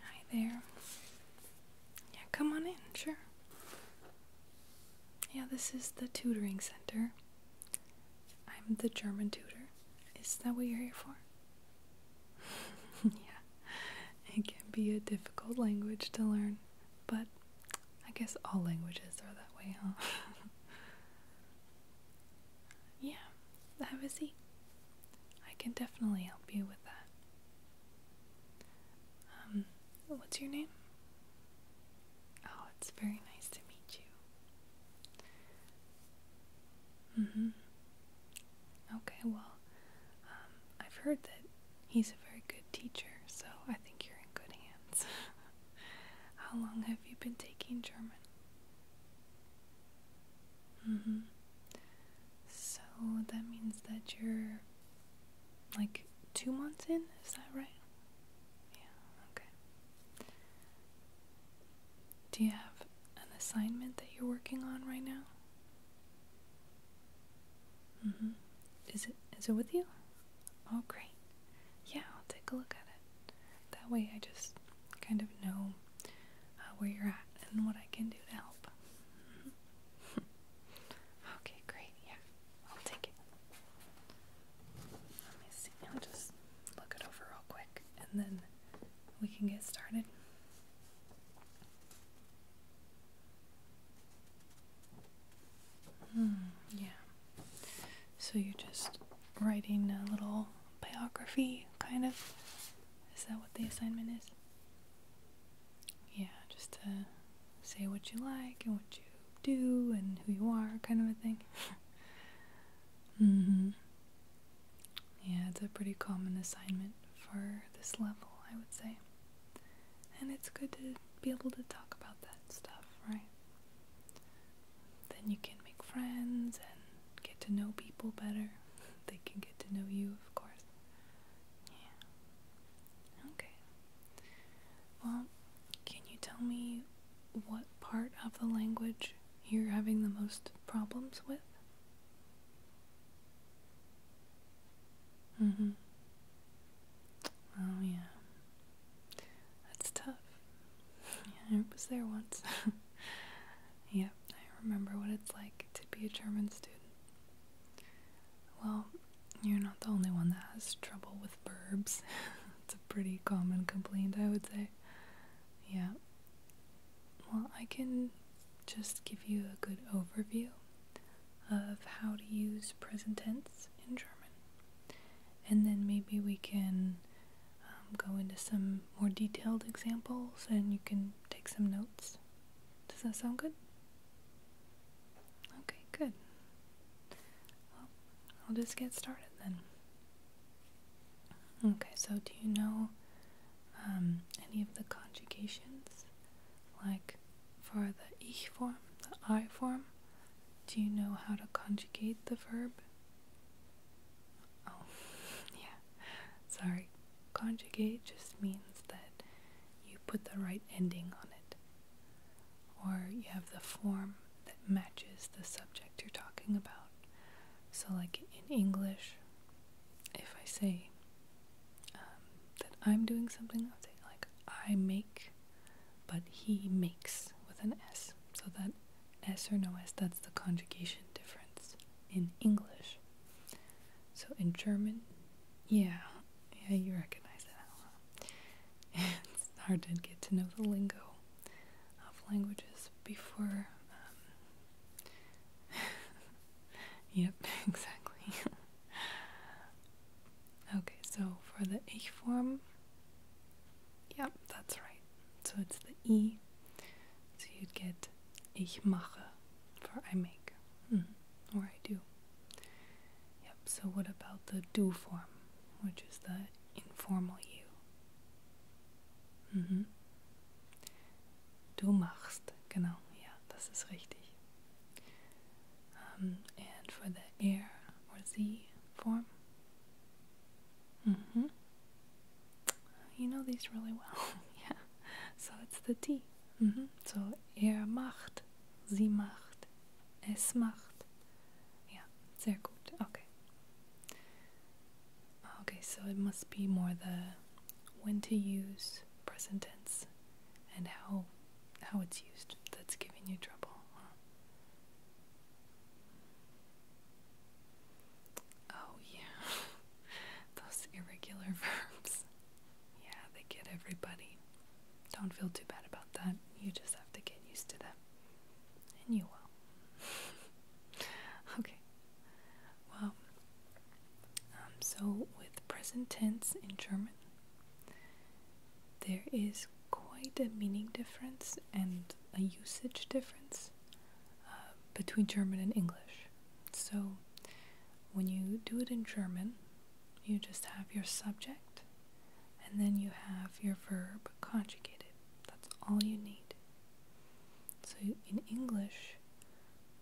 Hi there. Yeah, come on in, sure. Yeah, this is the tutoring center. I'm the German tutor. Is that what you're here for? yeah, it can be a difficult language to learn, but I guess all languages are that way, huh? yeah, have a I can definitely help you with that. Um, what's your name? Oh, it's very nice to meet you. Mm hmm. Okay, well, um, I've heard that he's a very good teacher, so I think you're in good hands. How long have you been taking German? Mm-hmm. So that means that you're like two months in, is that right? Yeah, okay. Do you have an assignment that you're working on right now? Mm hmm. Is it is it with you? Oh great. Yeah, I'll take a look at it. That way I just kind of know uh, where you're at and what I can do to help. Mm-hmm. okay, great. Yeah, I'll take it. Let me see. I'll just look it over real quick and then we can get started. Mm, yeah. So you're just writing a little biography, kind of? Is that what the assignment is? Yeah, just to say what you like and what you do and who you are, kind of a thing. mm hmm. Yeah, it's a pretty common assignment for this level, I would say. And it's good to be able to talk about that stuff, right? Then you can make friends and get to know people better. They can get to know you, of course. Yeah. Okay. Well, can you tell me what part of the language you're having the most problems with? Mm-hmm. Oh, yeah. That's tough. I was there once. yep, I remember what it's like to be a German student. Well, you're not the only one that has trouble with verbs. it's a pretty common complaint, I would say. Yeah, well, I can just give you a good overview of how to use present tense in German. And then maybe we can um, go into some more detailed examples and you can take some notes. Does that sound good? Okay, good. Well, I'll just get started then. Okay, so do you know um, any of the conjugations. Like for the ich form, the I form, do you know how to conjugate the verb? Oh, yeah. Sorry. Conjugate just means that you put the right ending on it, or you have the form that matches the subject you're talking about. So, like in English, if I say um, that I'm doing something, i say like I make, but he makes with an S. So that S or no S, that's the conjugation difference in English. So in German, yeah, yeah, you recognize that. it's hard to get to know the lingo of languages before um, Yep, exactly. okay, so for the ich form, yep, that's right. So it's the e. So you'd get ich mache for I make mm-hmm, or I do. Yep, so what about the do form, which is the informal you? Mm hmm. Du machst. Genau, ja, das ist richtig. Um, ähm, and for the air or the form. Mm -hmm. You know these really well. yeah. So it's the T. Mm -hmm. So er macht, sie macht, es macht. Ja, sehr gut. Okay. Okay, so it must be more the when to use present tense and how how it's used that's giving you trouble. Oh yeah. Those irregular verbs. Yeah, they get everybody. Don't feel too bad about that. You just have to get used to them. And you will. okay. Well, um, so with present tense in German, there is quite a meaning difference and a usage difference uh, between German and English. So when you do it in German, you just have your subject and then you have your verb conjugated. That's all you need. So in English,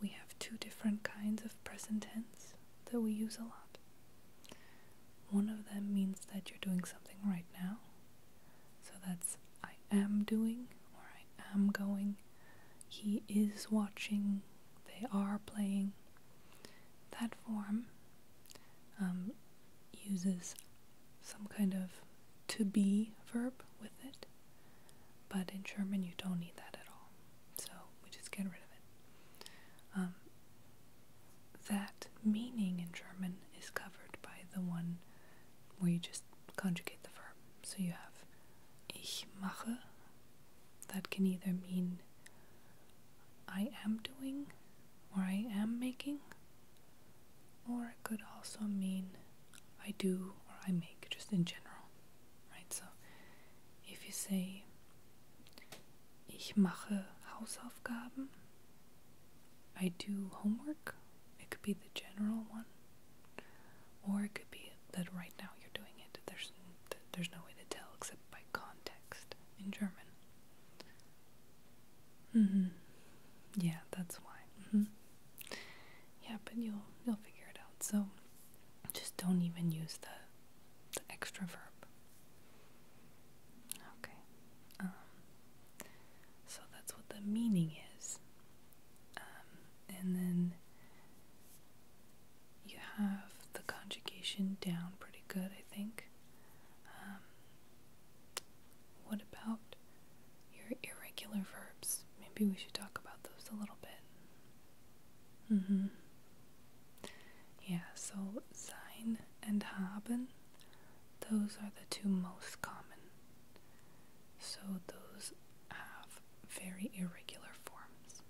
we have two different kinds of present tense that we use a lot. One of them means that you're doing something right now. So that's I am doing or I am going. He is watching. They are playing. That form um, uses some kind of to be verb with it. But in German, you don't need that at all. So we just get rid of it. Um, that meaning in German is covered by the one where you just conjugate the verb. So you have ich mache. That can either mean I am doing or I am making or it could also mean I do or I make, just in general, right? So if you say, ich mache Hausaufgaben, I do homework, it could be the general one, or it could be that right now you're doing it. There's, there's no way to tell except by context in German. Mm -hmm. Yeah, that's why. Mm -hmm yeah, but you'll you'll figure it out. So just don't even use the the extra verb. Okay. Um, so that's what the meaning is. Um, and then you have the conjugation down pretty good, I think. Um, what about your irregular verbs. Maybe we should talk about those a little bit. Mm-hmm. Yeah, so sein and haben, those are the two most common. So those have very irregular forms.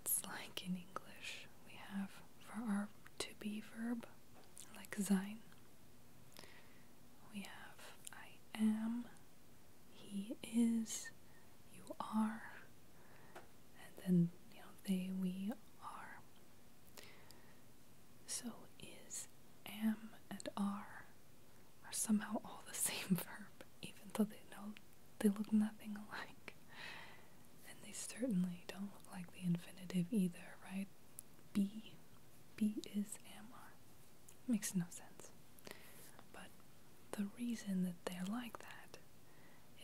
It's like in English, we have for our to be verb, like sein, we have I am, he is, you are, and then, you know, they, we are. So is, am, and are are somehow all the same verb, even though they know they look nothing alike. And they certainly don't look like the infinitive either, right? B, B is Amar. Makes no sense. But the reason that they're like that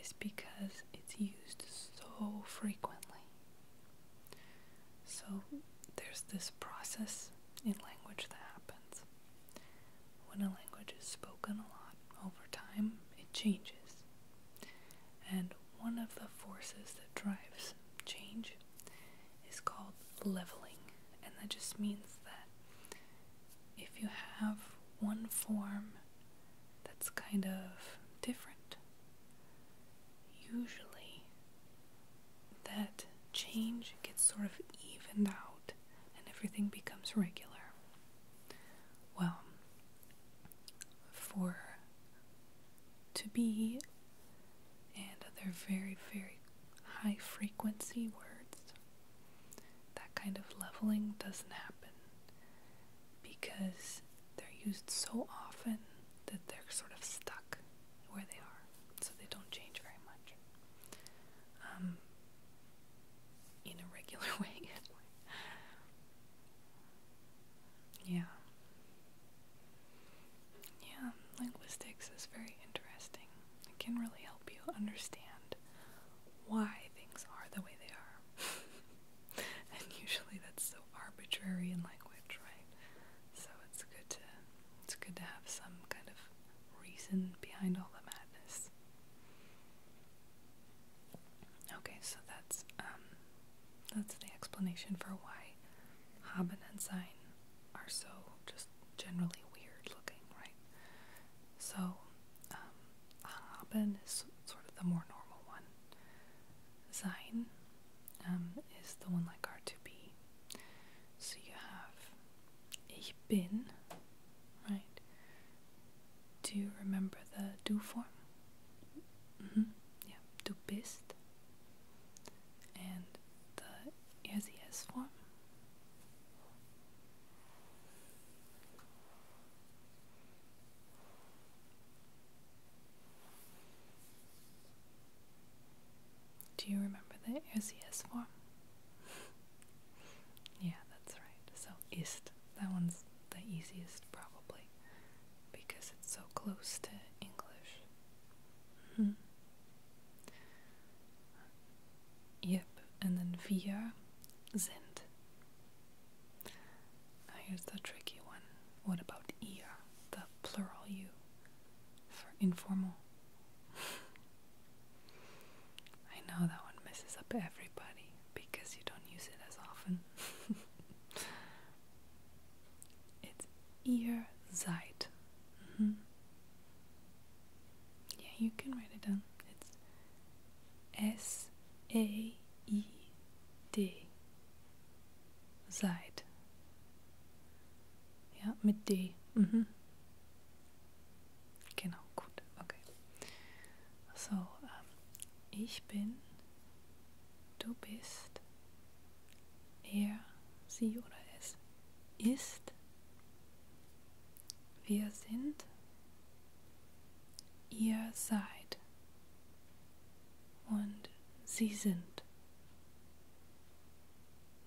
is because it's used so frequently. So there's this process in language that happens. When a language is spoken a lot over time, it changes. And one of the forces that drives change is called leveling, and that just means that if you have one form that's kind of different, usually that change gets sort of evened out and everything becomes regular. Well, for to be, and they're very, very high frequency words. That kind of leveling doesn't happen because they're used so often that they're sort of stuck where they are, so they don't change very much. Um, in a regular way, Yeah. Yeah, linguistics is very interesting. It can really help you understand why things are the way they are. and usually that's so arbitrary in language, right? So it's good to it's good to have some kind of reason behind all the madness. Okay, so that's um, that's the explanation for why haben and sein are so just generally weird looking, right? So, um, haben is sort of the more normal one. Sein um, is the one like are to be. So you have ich bin, right? Do you remember the do form? Mm -hmm. Yeah, du bist and the SES form. Do you remember the SES form? yeah, that's right. So ist. That one's the easiest probably because it's so close to English. Mm-hmm. Yep, and then wir sind. Now here's the tricky one. What about ihr, the plural you, for informal? I know that one messes up everybody because you don't use it as often. it's ihr Zeit. Mm-hmm. Yeah, you can write it down. It's S A I D. Zeit. Yeah, mit D. Mhm. Genau, gut, okay. So, ähm, ich bin, du bist. Er, sie oder es ist. Wir sind. Ihr seid. Und sie sind.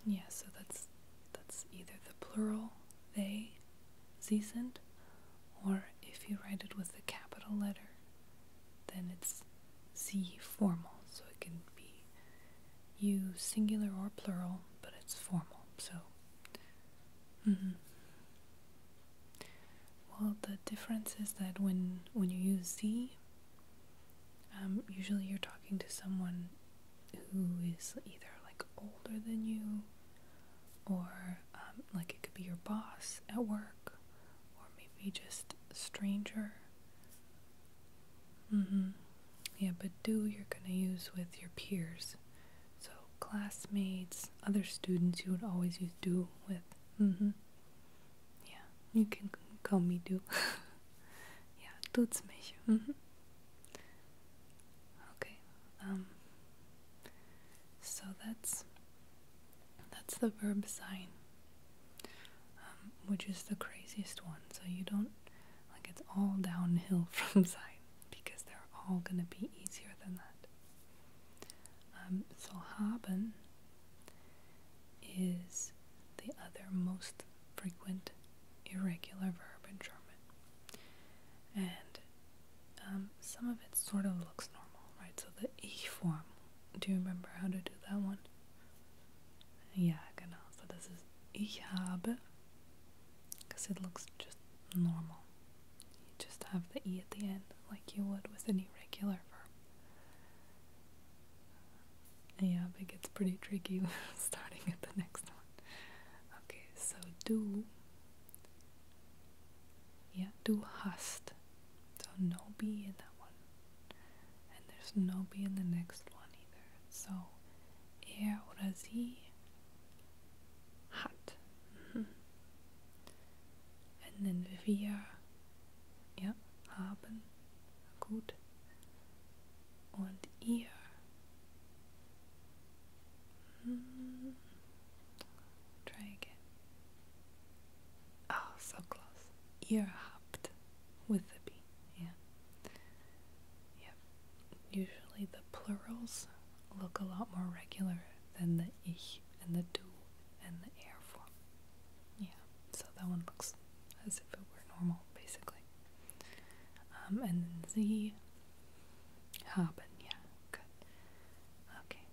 Yeah, so that's that's either the plural they, sie sind, or if you write it with the capital letter, then it's Z formal, so it can be you singular or plural, but it's formal. So, -hmm. well, the difference is that when when you use Z, um, usually you're talking to someone who is either like older than you, or um, like it could be your boss at work, or maybe just stranger Mm-hmm. Yeah, but do you're going to use with your peers. So classmates, other students, you would always use do with. Mm-hmm. Yeah, you can call me do. yeah, tut's mich. Mm-hmm. Okay. Um. So that's that's the verb sign. Um, which is the craziest one. So you don't like it's all downhill from Zion because they're all going to be easier than that. Um, so haben is the other most frequent irregular verb in German, and um, some of it sort of looks normal, right? So the e form. Do you remember how to do that one? Ja, genau. So this is ich habe. Because it looks just normal. You just have the E at the end, like you would with any regular verb. Yeah, but it gets pretty tricky starting at the next one. Okay, so du. Yeah, du hast. So no B in and there's no B in the next one either. So, er oder sie hat. And then we wir, ja, haben, gut. and ihr, mm-hmm. try again. Oh, so close. Ear hopped with the B. Yeah. Yep. Usually the plurals look a lot more regular than the ich and the du and the air form. Yeah. So that one looks as if it were normal, basically. Um, and then Z haben. Yeah. Good. Okay.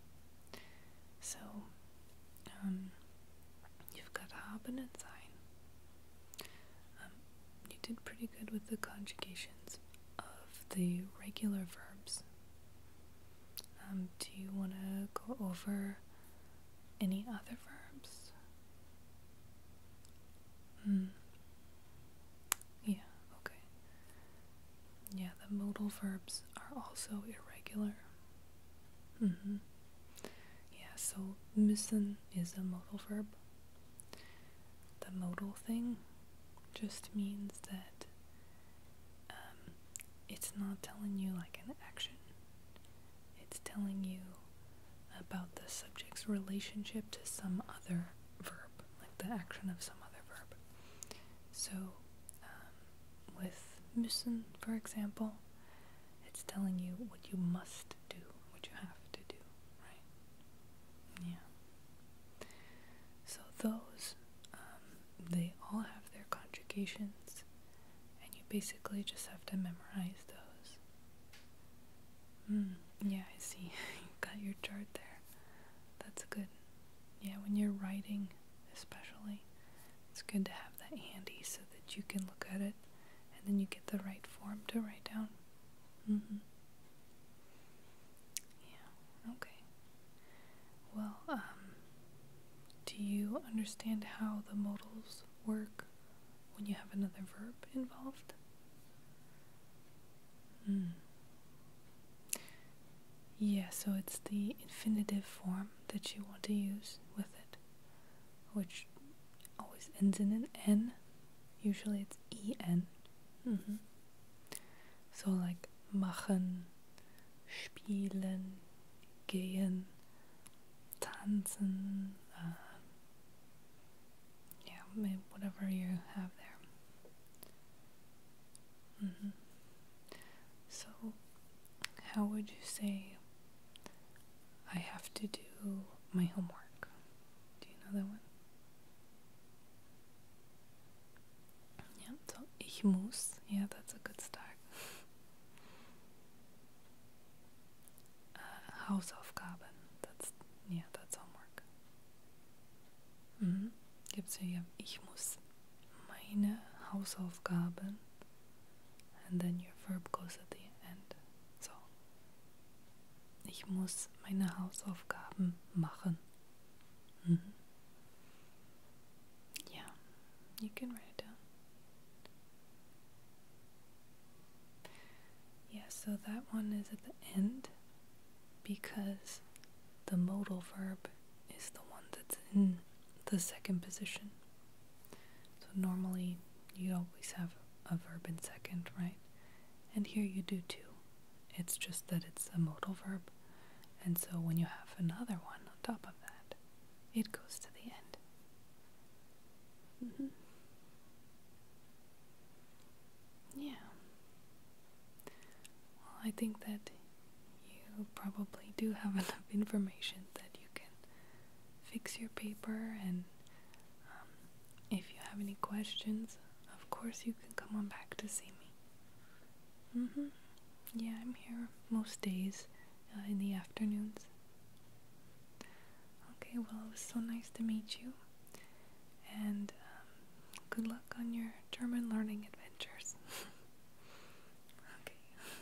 So um, you've got haben and sein. you did pretty good with the conjugations of the regular verbs. Um, do you want to go over any other verbs? Hmm. Yeah, okay. Yeah, the modal verbs are also irregular. Mm-hmm. Yeah, so müssen is a modal verb. The modal thing just means that um, it's not telling you like an action, it's telling you about the subject's relationship to some other verb, like the action of some other verb. So, um, with müssen, for example, it's telling you what you must do, what you have to do, right? Yeah. So those, um, they all have their conjugations, and you basically just have to memorize those. Hmm, yeah, I see. you got your chart there. That's good. Yeah, when you're writing, especially, it's good to have that handy so that you can look at it and then you get the right form to write down. Mm-hmm. Yeah, okay. Well, um, do you understand how the modals work when you have another verb involved? Hmm. Yeah, so it's the infinitive form that you want to use with it which always ends in an N. Usually it's en. Mm-hmm. So like machen, spielen, gehen, tanzen, uh, yeah, whatever you have there. Mm-hmm. So how would you say I have to do my homework? Do you know that one? Yeah, so ich muss. Yeah, that's a good start. uh, Hausaufgaben. That's yeah, that's homework. Mhm. Gibt's hier ich muss meine Hausaufgaben and then your verb goes at the end. So, ich muss meine Hausaufgaben machen. Yeah, mhm. you can write it down. Yeah, so that one is at the end because the modal verb is the one that's in the second position. So normally you always have a verb in second, right? And here you do too. It's just that it's a modal verb, and so when you have another one on top of that, it goes to the end. Mm-hmm. Yeah. I think that you probably do have enough information that you can fix your paper and um, if you have any questions, of course you can come on back to see me. Mm-hmm. Yeah, I'm here most days uh, in the afternoons. Okay, well, it was so nice to meet you. And um, good luck on your German learning adventures. okay.